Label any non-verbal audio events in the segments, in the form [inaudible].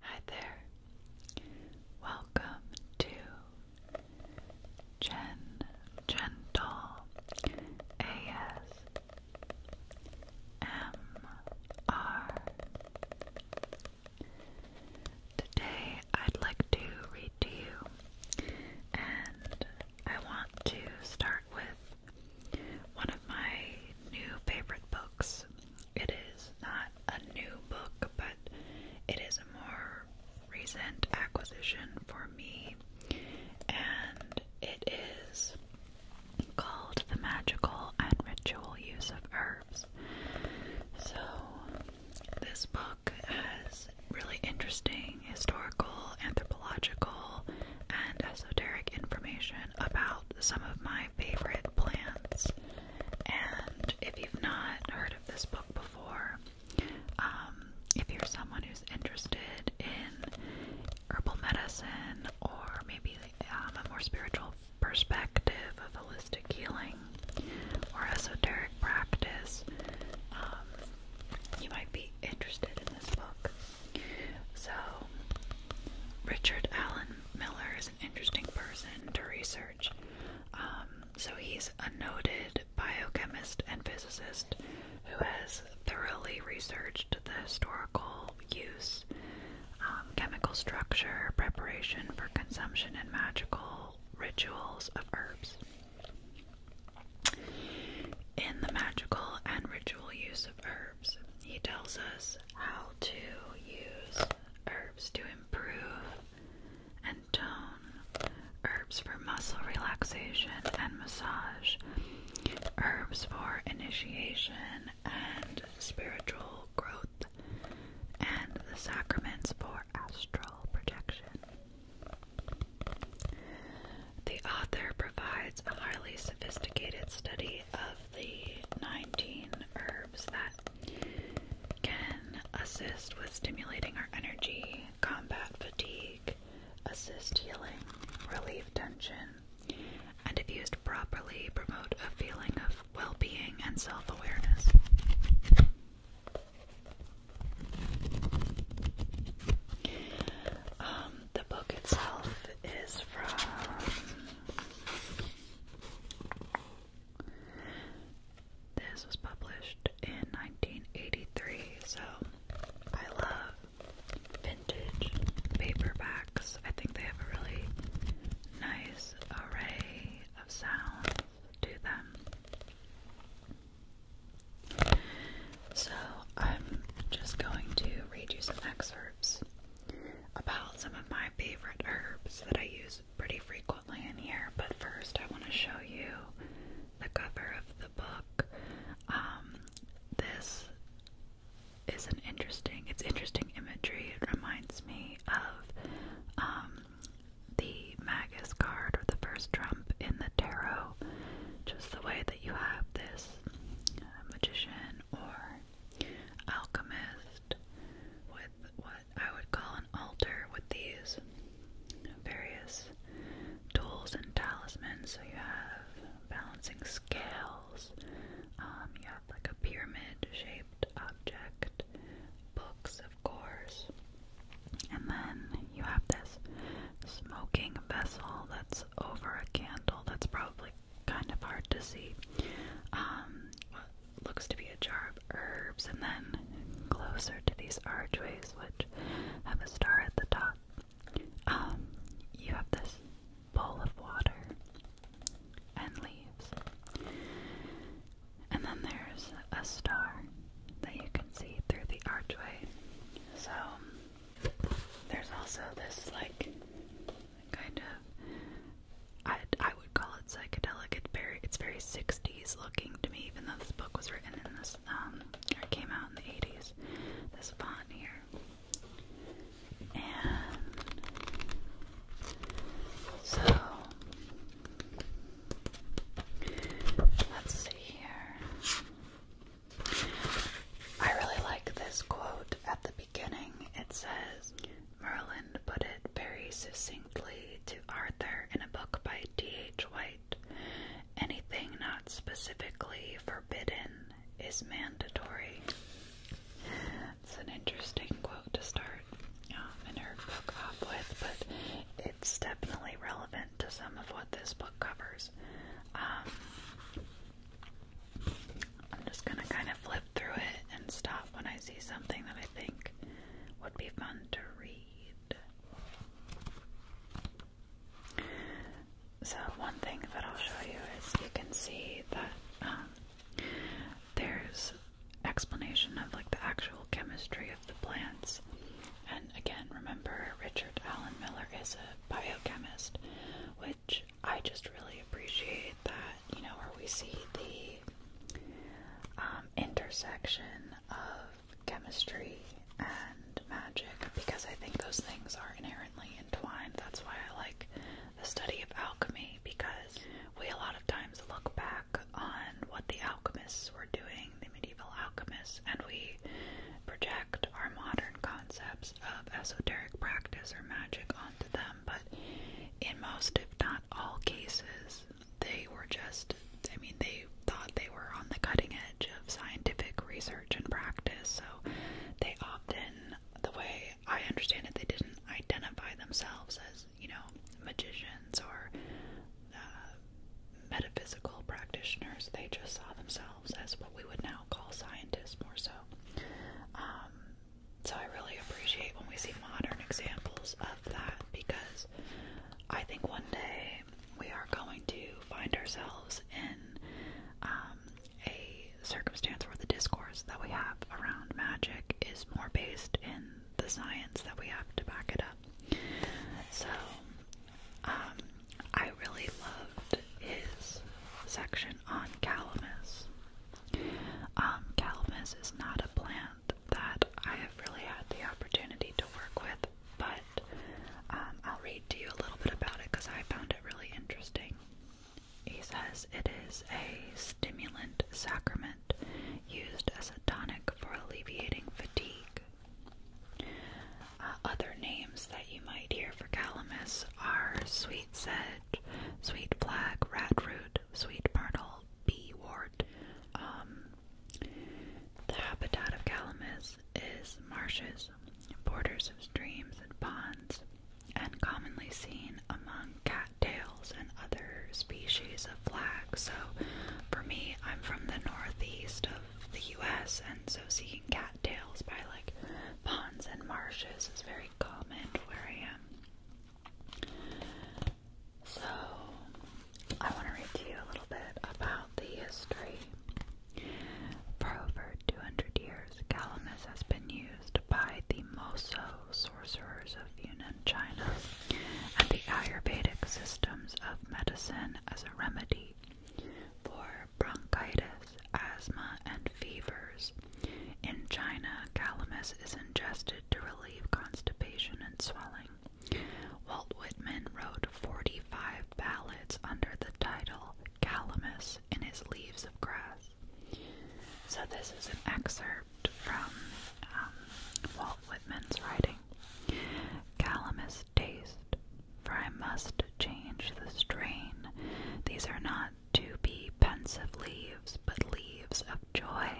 Hi there. Welcome to Gen Gentle AS Today I'd like to read to you and I want to start with one of my new favorite books it is not a new book, but it is a more recent acquisition for me, and it is called The Magical and Ritual Use of Herbs. So, this book has really interesting historical, anthropological, and esoteric information about some of my favorite plants and if you've not heard of this book before, um, if you're someone who's interested in herbal medicine or maybe um, a more spiritual perspective of holistic healing or esoteric practice, um, you might be interested in this book. So, Richard Allen Miller's interesting person to research. Um, so he's a noted biochemist and physicist who has thoroughly researched the historical use, um, chemical structure, preparation for consumption, and magical rituals of herbs. In the magical and ritual use of herbs, he tells us how to use herbs to improve and tone, herbs for muscle relaxation and massage, herbs for initiation and spiritual growth, and the sacraments for astral projection. The author provides a highly sophisticated study of the 19 herbs that can assist with stimulating our energy, combat fatigue, assist healing, relieve tension, and if used properly, promote a feeling of well being and self awareness. Um, the book itself is from this was published in 1983, so I love vintage paperbacks. I think they have a really nice array of sounds to them. So I'm just going to read you some excerpts about some of my favorite herbs that I use pretty frequently in here, but first I want to show you the cover of the book. Um, this is an interesting, it's interesting imagery. It reminds me of um, the Magus card or the first trump in the tarot, just the way that you have this uh, magician or alchemist with what I would call an altar with these various tools and talismans. So you have balancing scales, um, you have like a pyramid shaped object, books, of course, and then you have this smoking vessel that's over a candle that's probably kind of hard to see. Um, looks to be a jar of herbs, and then closer to these archways, which have a star at the top, um, you have this bowl of water and leaves. And then there's a star that you can see through the archway. So there's also this, like, kind of I I would call it psychedelic. It's very it's very 60s looking to me, even though this book was written in this um it came out in the 80s. This bond here, and so let's see here. I really like this quote at the beginning. It says, Merlin put it very succinctly to Arthur in a book by D.H. White anything not specifically forbidden is mandatory. It's an interesting quote to start um, in her book off with, but it's definitely relevant to some of what this book covers. Um, I'm just gonna kind of flip through it and stop when I see something that I think would be fun to read. So, one thing that I'll show you is you can see that um, there's explanation of like the actual chemistry of the plants. And again, remember Richard Allen Miller is a biochemist, which I just really appreciate that you know, where we see the um, intersection of chemistry and magic because I think those things are inherently entwined. That's why I like the study of alchemy because we a lot of times look back on what the alchemists were doing, the medieval alchemists, and we project our modern concepts of esoteric practice or magic onto them. But in most, if not all cases, they were just, I mean, they thought they were on the cutting edge of scientific research and practice, so they often, the way I understand it, they didn't identify themselves as, you know, magicians or uh, metaphysical practitioners. They just saw themselves as what we would now call scientists more so. Um, so I really appreciate when we see modern examples of that because I think one day we are going to find ourselves in um, a circumstance where the discourse that we have around magic is more based in the science that we have to back it up. So um, I really loved his section on calamus. Um, calamus is not a plant that I have really had the opportunity to work with, but um, I'll read to you a little bit about it because I found it really interesting. He says it is a stimulant sacrament used as a tonic for alleviating fatigue. Uh, other names that you might hear for calamus are sweet sedge, sweet flag, rat root, sweet myrtle, B ward. Um, the habitat of calamus is marshes, borders of streams and ponds, and commonly seen among cattails and other species of flax. So, for me, I'm from the northeast of the U.S., and so seeing cattails by like ponds and marshes is very common where I am. So, I want to read to you a little bit about the history. For over 200 years, Calamus has been used by the Moso sorcerers of Yunnan, China, and the Ayurvedic systems of medicine as a remedy for bronchitis, asthma, and fevers. In China, calamus is ingested to relieve constipation and swelling. Walt Whitman wrote 45 ballads under the title Calamus in his Leaves of Grass. So, this is an excerpt from um, Walt Whitman's writing Calamus taste, for I must change the strain. These are not to be pensive leaves, but leaves of joy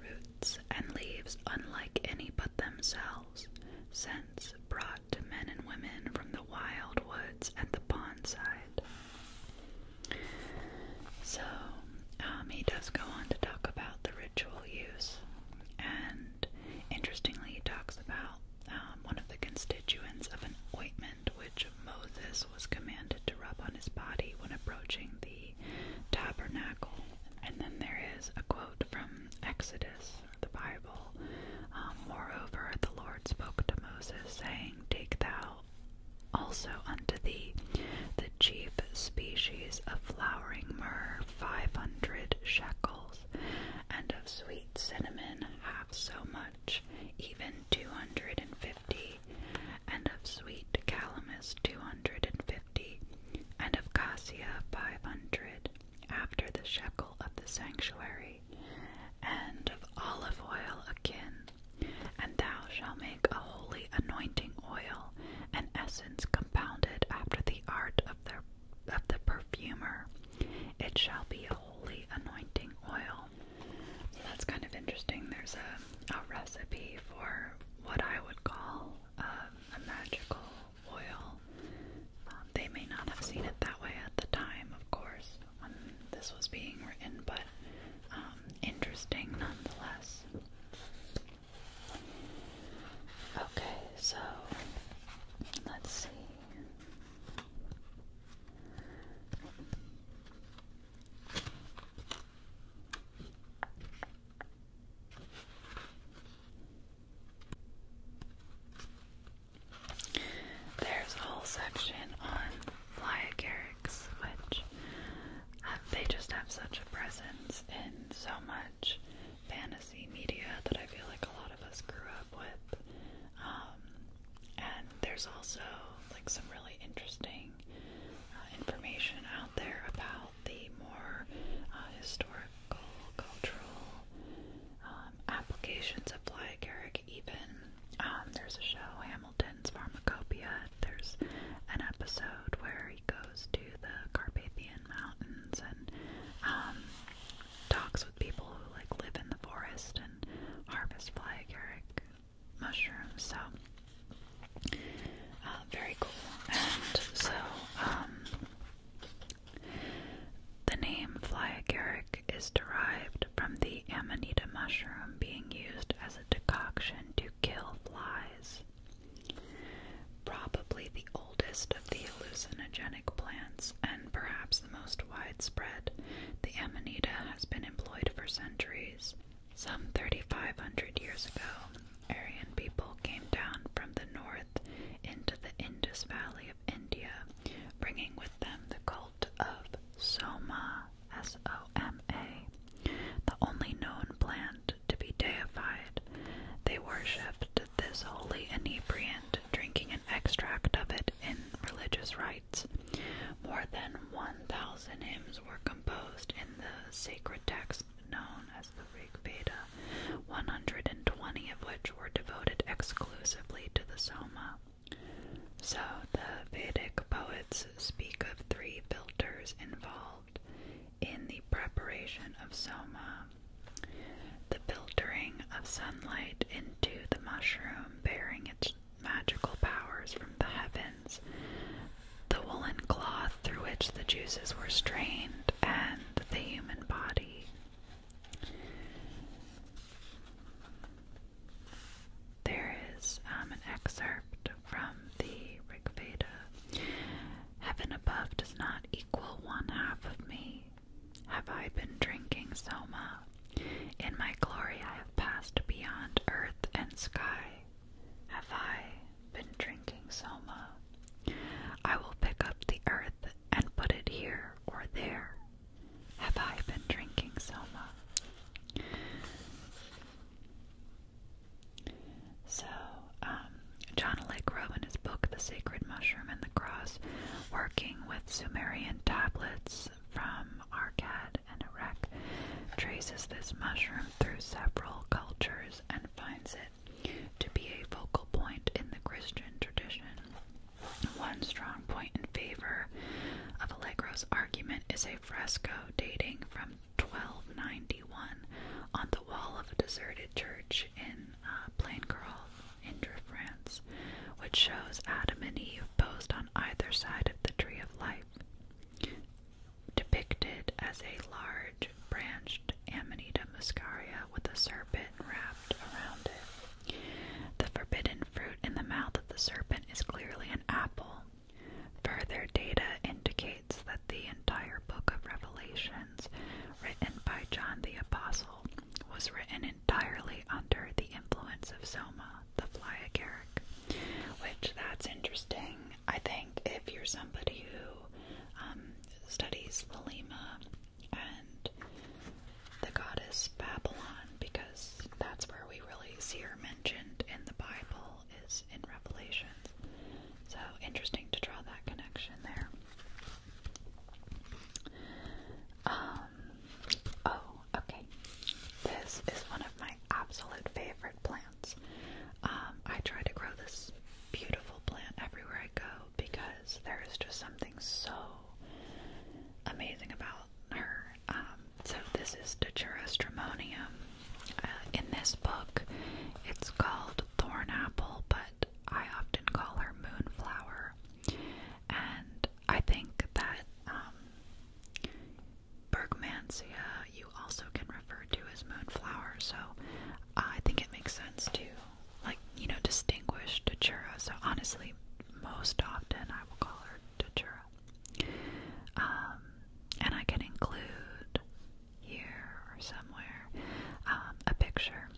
roots and leaves unlike any but themselves, scents brought to men and women from the wild woods and the pond side. So um, he does go on to talk about the ritual use, and interestingly, he talks about um, one of the constituents of an ointment which Moses was commanded to rub on his body when approaching the tabernacle. And then there is a quote from Exodus, the Bible. Um, Moreover, the Lord spoke to Moses, saying, Take thou also unto thee the chief species of flowering myrrh, five hundred shekels, and of sweet cinnamon, half so much, even two hundred and fifty and of sweet calamus two hundred and fifty, and of cassia five hundred, after the shekel of the sanctuary, and of olive oil a kin. And thou shalt make a holy anointing oil, an essence compounded after the art of the, of the perfumer. It shall be a holy anointing oil. So that's kind of interesting. There's a a recipe for what I would call um, a magical oil. Um, they may not have seen it that way at the time, of course, when this was being written, but um, interesting nonetheless. Okay, so let's see. There's a whole section on Flyagarics, which they just have such a presence in so much fantasy media that I feel like a lot of us grew up with. Um, and there's also like some really interesting uh, information out there about the more uh, historical, cultural um, applications of Fly Garrick, even. Um, there's a show, Hamilton's Pharmacopoeia. There's an episode where he goes to the Carpathian Mountains and um, talks with people who like live in the forest and harvest fly agaric mushrooms. So uh, very cool. And so, um, the name fly agaric is derived from the amanita mushroom being used as a decoction to kill flies. Probably the oldest of the hallucinogenic plants, and perhaps the most widespread, the amanita has been employed for centuries some 3,500 years ago, Aryan people came down from the north into the Indus Valley of India, bringing with them the cult of Soma, S O M A, the only known plant to be deified. They worshipped this holy inebriant, drinking an extract of it in religious rites. More than 1,000 hymns were composed in the sacred text known as the Rig Veda, 120 of which were devoted exclusively to the Soma. So, the Vedic poets speak of three filters involved in the preparation of Soma the filtering of sunlight into the mushroom, bearing its magical powers from the heavens, the woolen cloth through which the juices were strained, and the human body. There is um, an excerpt from the Rig Veda. Heaven above does not equal one half of me. Have I been drinking soma? In my glory I have passed beyond earth and sky have I been drinking Soma? I will pick up the earth and put it here or there. Have I been drinking Soma? So, um, John Lake Rowe in his book The Sacred Mushroom and the Cross, working with Sumerian tablets from Arkad and Iraq, traces this mushroom through several cultures and finds it to be a focal point in the Christian tradition. One strong point in favor of Allegro's argument is a fresco dating from 1291 on the wall of a deserted church in uh, Plaincarol, Indre, France, which shows Adam and Eve posed on either side of the tree of life depicted as a large branched Amanita muscaria with a serpent wrapped around it. The forbidden fruit in the mouth of the serpent is clearly an apple. Further data indicates that the entire book of Revelations, written by John the Apostle, was written entirely under the influence of Soma, the fly agaric. Which that's interesting. I think if you're somebody who um, studies Lelima and the goddess Babylon because that's where we really see her mentioned in the Bible is in Revelation. So interesting to draw that connection there. Um, oh, okay. This is one of my absolute favorite plants. Um, I try to grow this beautiful plant everywhere I go because there is just something so amazing about her. Um, so this is Datura stramonium. Uh, in this book, it's called thorn apple, but I often call her moonflower. And I think that um, you also can refer to as moonflower, so I think it makes sense to, like, you know, distinguish datura. So honestly, most often I will call her datura. Um, and I can include here or somewhere um, a picture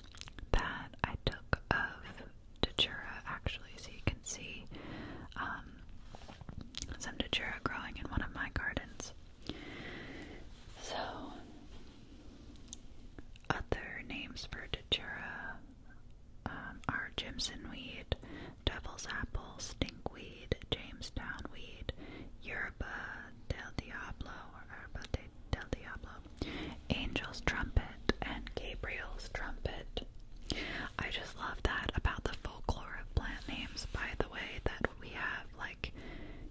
that I took of datura actually, so you can see um, some datura growing in one of my gardens. So, other names for datura um, are Jimson weed, devil's apple, stinkweed, Jamestown weed, Yerba del Diablo, or Yerba de, del Diablo, angel's trumpet, and Gabriel's trumpet. I just love that about the folklore of plant names, by the way, that we have, like,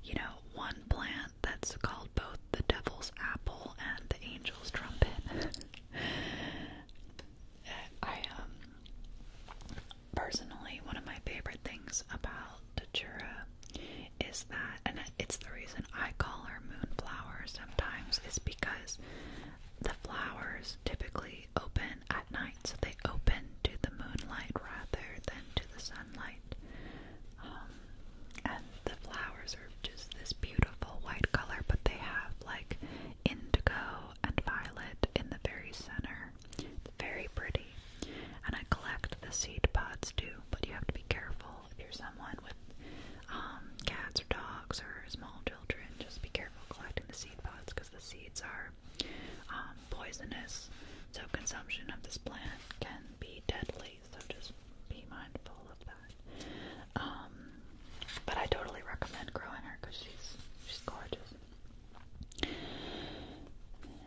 you know, one plant that's called both the devil's apple and the angel's trumpet. [laughs] I um personally one of my favorite things about datura is that and it's the reason I call her moonflower sometimes is because the flowers typically open at night so they open to the moonlight rather than to the sunlight white. Um, and the flowers are just this beautiful white color, but they have like indigo and violet in the very center. It's very pretty. And I collect the seed pods too, but you have to be careful if you're someone with um, cats or dogs or small children. Just be careful collecting the seed pods because the seeds are um, poisonous, so consumption of this plant can be deadly. So just be mindful of that. Um, but I totally recommend growing her because she's she's gorgeous.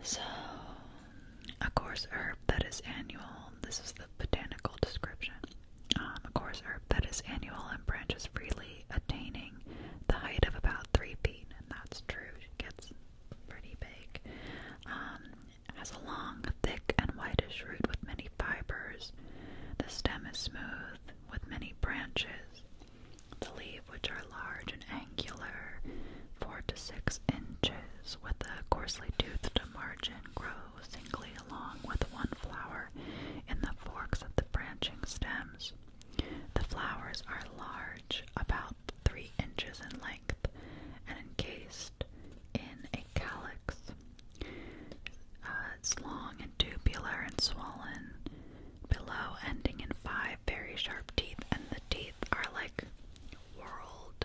So, a coarse herb that is annual. This is the botanical description. a um, coarse herb that is annual and branches freely, attaining the height of about three feet, and that's true. She gets pretty big. Um, has a long, thick, and whitish root with many fibers. The stem is smooth with many branches. The leaves, which are large and angular, four to six inches, with a coarsely toothed margin, grow singly along with one flower in the forks of the branching stems. The flowers are large, about three inches in length and encased in a calyx. Uh, it's long and tubular and swollen below, ending in five very sharp teeth, and the teeth are like whorled.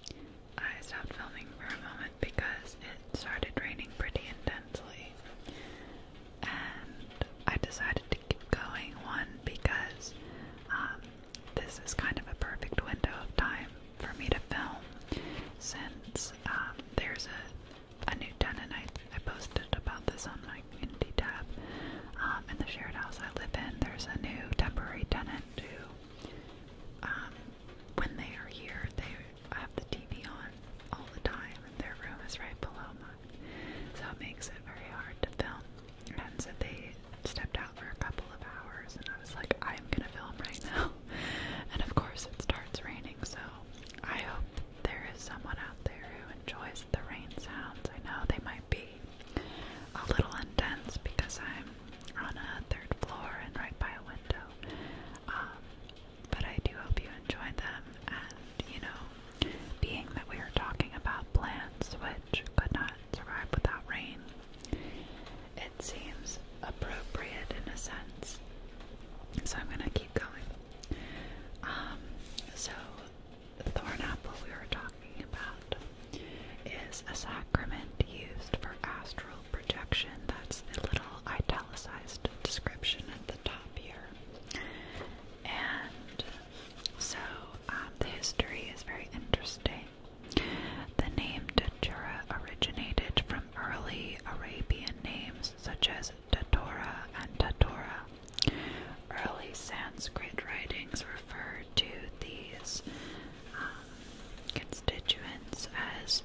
So I stopped filming for a moment because it started raining pretty intensely, and I decided going. One, because um, this is kind of a perfect window of time for me to film since um, there's a, new tenant. I, I posted about this on my community tab. Um, in the shared house I live in, there's a new temporary tenant who, when they are here, they have the TV on all the time, and their room is right below mine. So it makes it very hard to film. And so they stepped out for a couple of hours, and I was like, I'm gonna film right now. [laughs] And of course, it starts raining, so I hope there is someone out there who enjoys the rain sounds. I know they might be a little intense because I'm on a third floor and right by a window. Um, but I do hope you enjoy them, and you know, being that we are talking about plants which could not survive without rain, it seems appropriate in a sense. So I'm going to keep going. Um, so, the thorn apple we were talking about is a sacrament used for astral projection. That's the little italicized description at the top here. And so, um, the history is very interesting. The name Datura originated from early Arabian names such as Datura and Datura. Early Sanskrit writings refer to these um, constituents as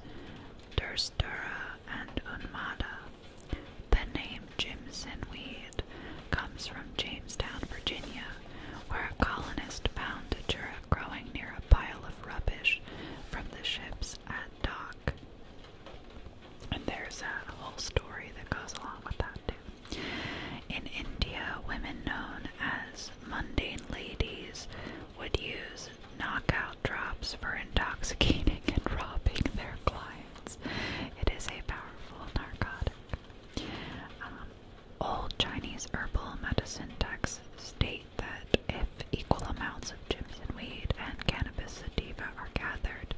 Durstara and Unmada. The name Jimson weed comes from Jamestown, Virginia, where a colonist found a turret growing near a pile of rubbish from the ships at dock. And there's a whole story that goes along with that, too. In India, women known as mundane ladies would use knockout drops for intoxicating [laughs] and robbing their clients. It is a powerful narcotic. Um, Old Chinese herbal medicine texts state that if equal amounts of Jimson weed and cannabis sativa are gathered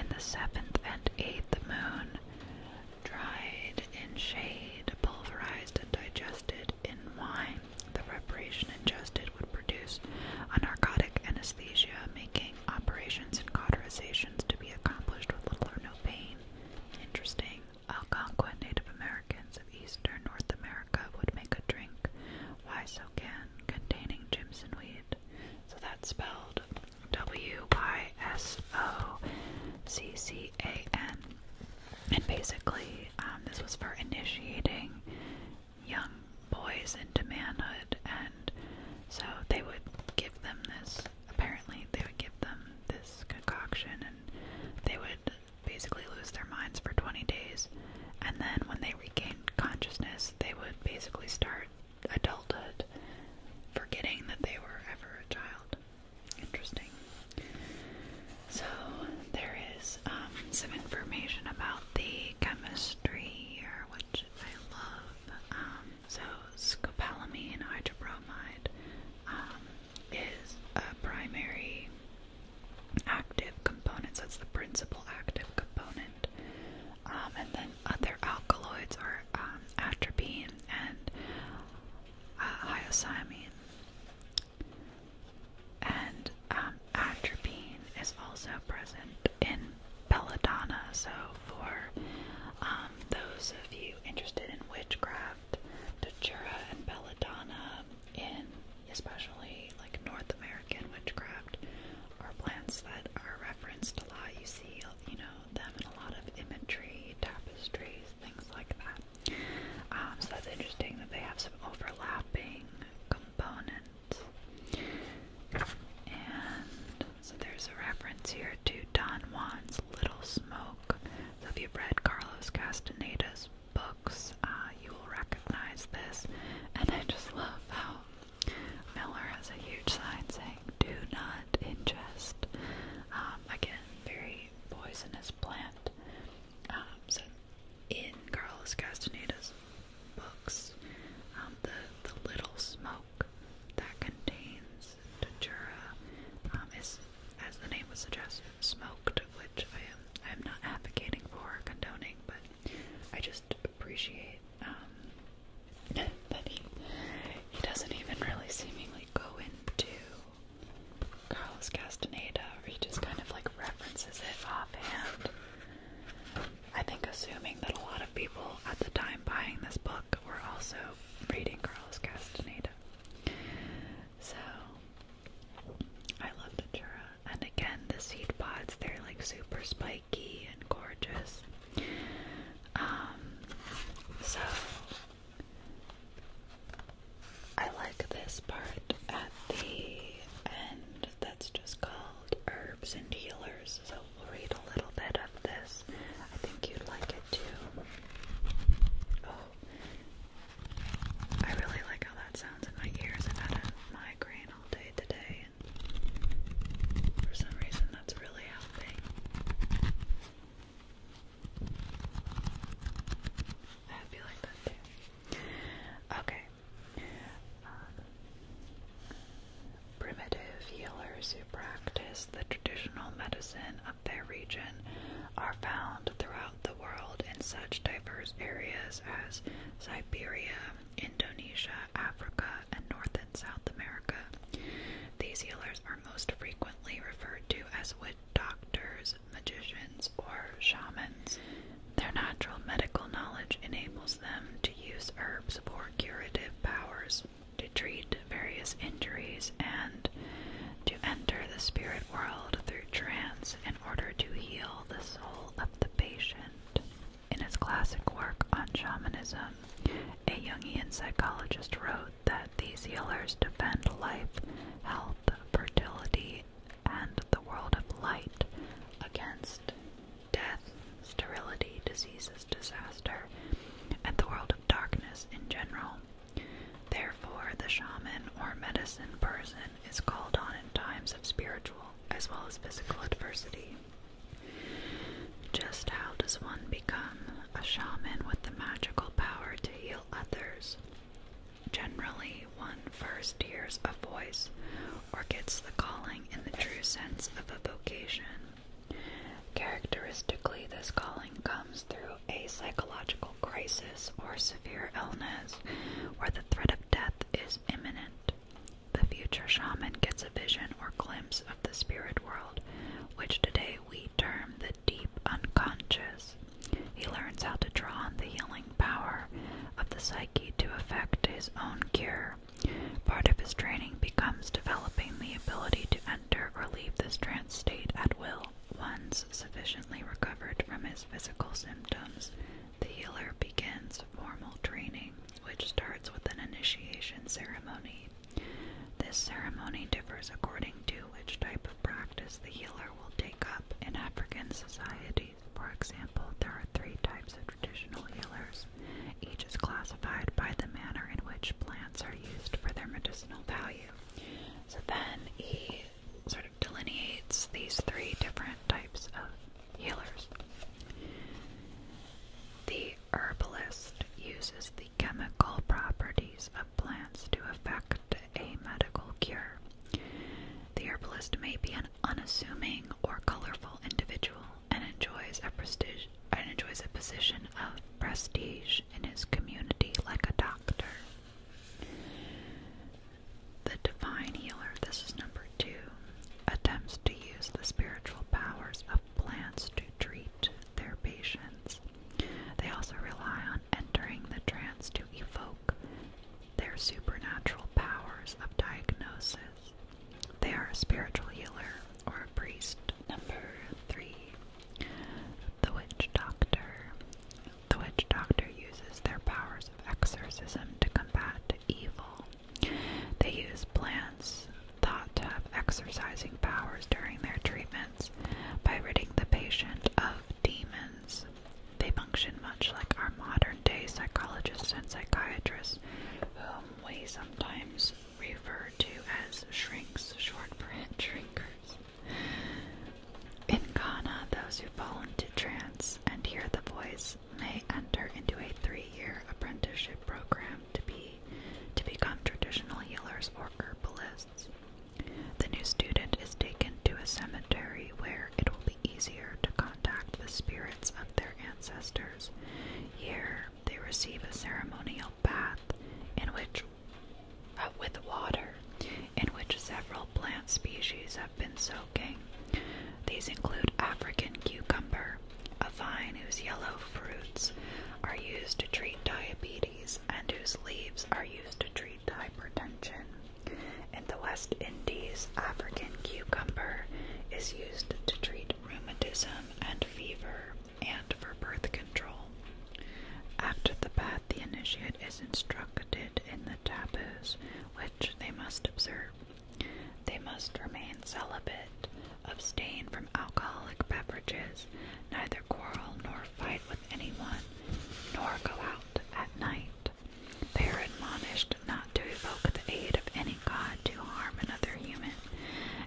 in the seventh and eighth moon, dried in shade, pulverized, and digested in wine, the preparation ingested would produce a narcotic anesthesia, making operations and cauterizations to be accomplished with little or no pain. Interesting. Algonquin Native Americans of eastern North America would make a drink, Wysocan, containing Jimson weed. So that's spelled W Y S O C C A N. And basically, um, this was for initiating young boys into manhood, and so they would give them this apparently they would give them this concoction and they would basically lose their minds for 20 days and then when they regained consciousness they would basically start adulthood forgetting that they were ever a child interesting so there is um, some information about the chemistry here which I love um, so scopolamine hydrobromide um, is a primary active component, so it's the principal active component. Um, and then other alkaloids are um, atropine and uh, hyoscyamine. And atropine is also present in belladonna, so for um, those of you interested in witchcraft, Datura and Belladonna, in especially like North American witchcraft, are plants that are referenced a lot. You see, you know, them in a lot of imagery, tapestries, things like that. Um, so that's interesting that they have some overlapping components. So there's a reference here to Don Juan's Little Smoke. So if you've read Carlos Castaneda's books, uh, you will recognize this. And I just love how Miller has a huge sign saying, Do not ingest. Um, again, very poisonous plant. Um, in Carlos Castaneda's books, um, the, the little smoke that contains datura um, is, as the name was suggested, smoked, which I am I am not advocating for condoning, but I just appreciate um, [laughs] that he he doesn't even really seemingly go into Carlos Castaneda, or he just kind of like references it offhand. I think assuming that a lot of people at the time buying this book were also reading Carlos Castaneda. So I love the Natura. And again, the seed pods, they're like super spiky and gorgeous. Um, so I like this part at the end that's just called Herbs and Healers. So we'll read a little bit of this. I think you'd like it too. Oh, I really like how that sounds in my ears. i had a migraine all day today, and for some reason, that's really helping. I hope you like that too. Okay. Um, primitive healers who practice the traditional medicine of their region are found throughout the world in such diverse areas as Siberia, Indonesia, Africa, and North and South America. These healers are most frequently referred to as witch doctors, magicians, or shamans. Their natural medical knowledge enables them to use herbs for curative powers, to treat various injuries and to enter the spirit world through trance in order to heal the soul of the patient. In his classic work on shamanism, a Jungian psychologist wrote that these healers defend life, health, fertility, and the world of light against death, sterility, diseases, disaster, and the world of darkness in general. Therefore, the shaman or medicine person is called on in times of spiritual as well as physical adversity. Just how does one become a shaman with the magical power to heal others? Generally, one first hears a voice or gets the calling in the true sense of a vocation. Characteristically, this calling comes through a psychological crisis or severe illness where the threat of death is imminent. The future shaman gets a vision or glimpse of the spirit world, which today we term the deep unconscious. He learns how to draw on the healing power of the psyche to effect his own cure. Part of his training becomes developing the ability to enter or leave this trance state at will once sufficiently recovered from his physical symptoms, the healer begins formal training, which starts with an initiation ceremony. This ceremony differs according to which type of practice the healer will take up in African societies. For example, there are three types of traditional healers. Each is classified by the manner in which plants are used for their medicinal value. So then he sort of delineates these three different types of healers. The herbalist uses the chemical properties of plants to effect a medical cure. The herbalist may be an unassuming or colorful individual and enjoys a prestige and enjoys a position of prestige in his community like a doctor. The divine healer, this is number two, attempts to use the spiritual powers of plants to treat their patients. They also rely on entering the trance to evoke their supernatural powers of diagnosis. They are a spiritual healer or a priest. Number three, the witch doctor. The witch doctor uses their powers of exorcism to combat evil. They use plants thought to have exorcising powers during their treatments by ridding the patient of demons. They function much like our modern day psychologists and psychiatrists, whom we sometimes refer to as shrinks, short for [laughs] shrinkers. In Ghana, those who fall into trance and hear the voice may enter into a three-year apprenticeship program to be to become traditional healers or herbalists. The new student is taken to a cemetery where it will be easier to contact the spirits of their ancestors. Here, they receive a ceremonial bath in which uh, with water in which several plant species have been soaking. These include African cucumber, a vine whose yellow fruits are used to treat diabetes and whose leaves are used to treat hypertension. In the West Indies, African cucumber is used to treat rheumatism and fever and for birth control. After the bath, the initiate is instructed in the taboos which they must observe. They must remain celibate, abstain from alcoholic beverages, neither quarrel nor fight with anyone, nor go out at night. They are admonished not to evoke the aid of any god to harm another human,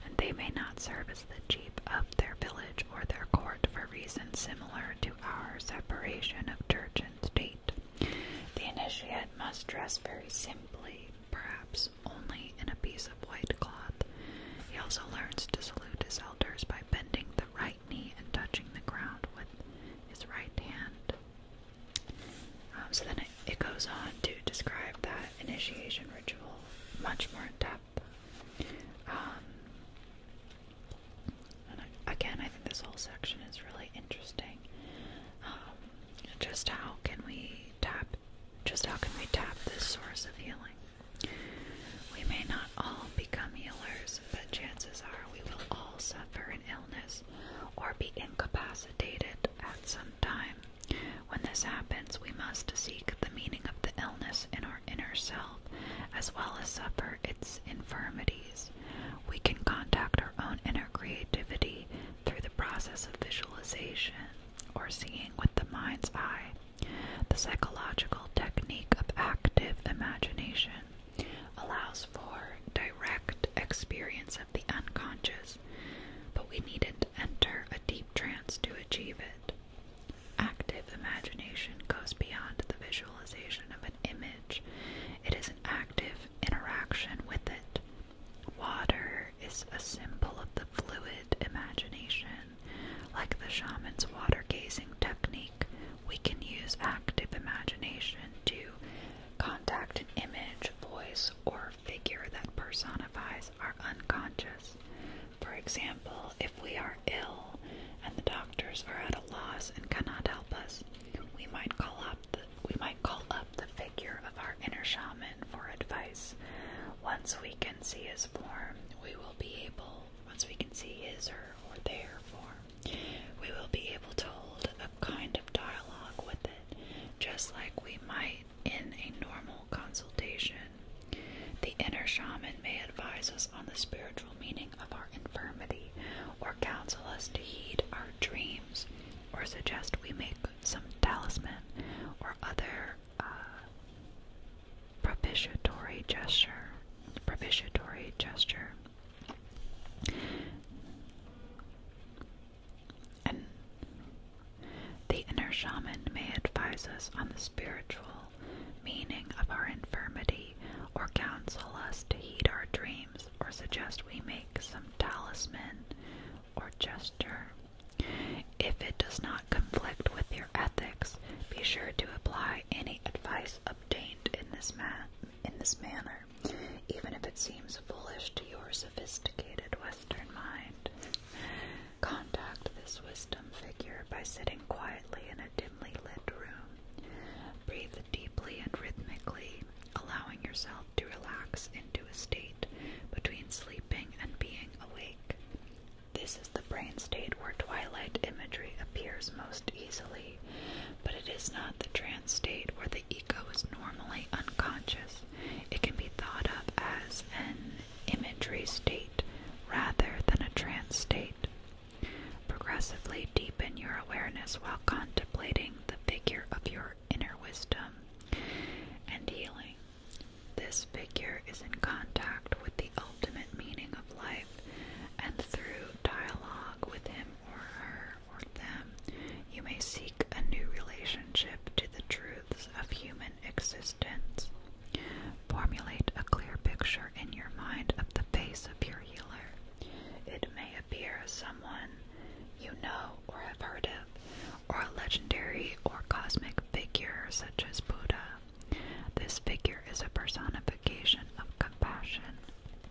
and they may not serve as the chief of their village or their court for reasons similar to our separation of church and state. The initiate must dress very simply, perhaps only in a piece of white cloth. He also learns to salute his elders by bending the right knee and touching the ground with his right hand. Um, so then it goes on to describe that initiation ritual much more in depth. Um, and again, I think this whole section is really interesting. Um, just how can we tap? Just how can we tap this source of healing? We may not all become healers, but chances are we will all suffer an illness or be incapacitated at some time. When this happens, we must seek the meaning of the illness in our inner self as well as suffer its infirmities. We can contact our own inner creativity through the process of visualization or seeing with the mind's eye, the psychological technique of active imagination. Allows for direct experience of the unconscious, but we needn't enter a deep trance to achieve it. Active imagination goes beyond the visualization of an image, it is an active interaction with it. Water is a symbol of the fluid imagination. Like the shaman's water gazing technique, we can use active imagination to contact an image, voice, or figure that personifies our unconscious. For example, if we are are ill and the doctors are at a loss and cannot help us, we might call up the, we might call up the figure of our inner shaman for advice. Once we can see his form, we will be able once we can see his or their form, we will be able to hold a kind of dialogue with it, just like we might in a normal consultation. The inner shaman may advise us on the spiritual meaning of our infirmity, or counsel us to heed our dreams, or suggest we make some talisman or other uh, propitiatory gesture. Propitiatory gesture. And the inner shaman may advise us on the spiritual meaning of our infirmity, or counsel us to heed our dreams, or suggest we make some talisman or gesture. If it does not conflict with your ethics, be sure to apply any advice obtained in this man in this manner, even if it seems foolish to your sophisticated Western mind. Contact this wisdom figure by sitting quietly in a dim dimly deeply and rhythmically, allowing yourself to relax into a state between sleeping and being awake. This is the brain state where twilight imagery appears most easily, but it is not the trance state where the ego is normally unconscious. It can be thought of as an imagery state rather than a trance state. Progressively deepen your awareness while contemplating the figure of your inner wisdom and healing. This figure is in contact with the ultimate meaning of life, and through dialogue with him or her or them, you may seek a new relationship to the truths of human existence. Formulate a clear picture in your mind of the face a pure healer. It may appear as someone you know or have heard of, or a legendary or cosmic figure such as Buddha. This figure is a personification of compassion,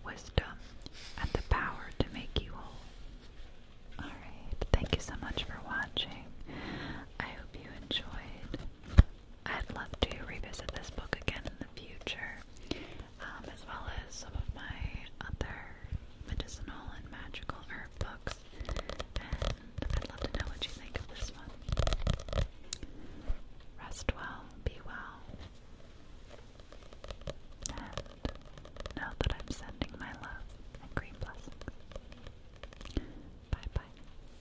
wisdom, and the power to make you whole. Alright, thank you so much for watching. I hope you enjoyed. I'd love to revisit this book again in the future, um, as well as some of my other medicinal and magical herb books. And I'd love to know what you think of this one. Rest well, be well, and know that I'm sending my love and green blessings. Bye bye.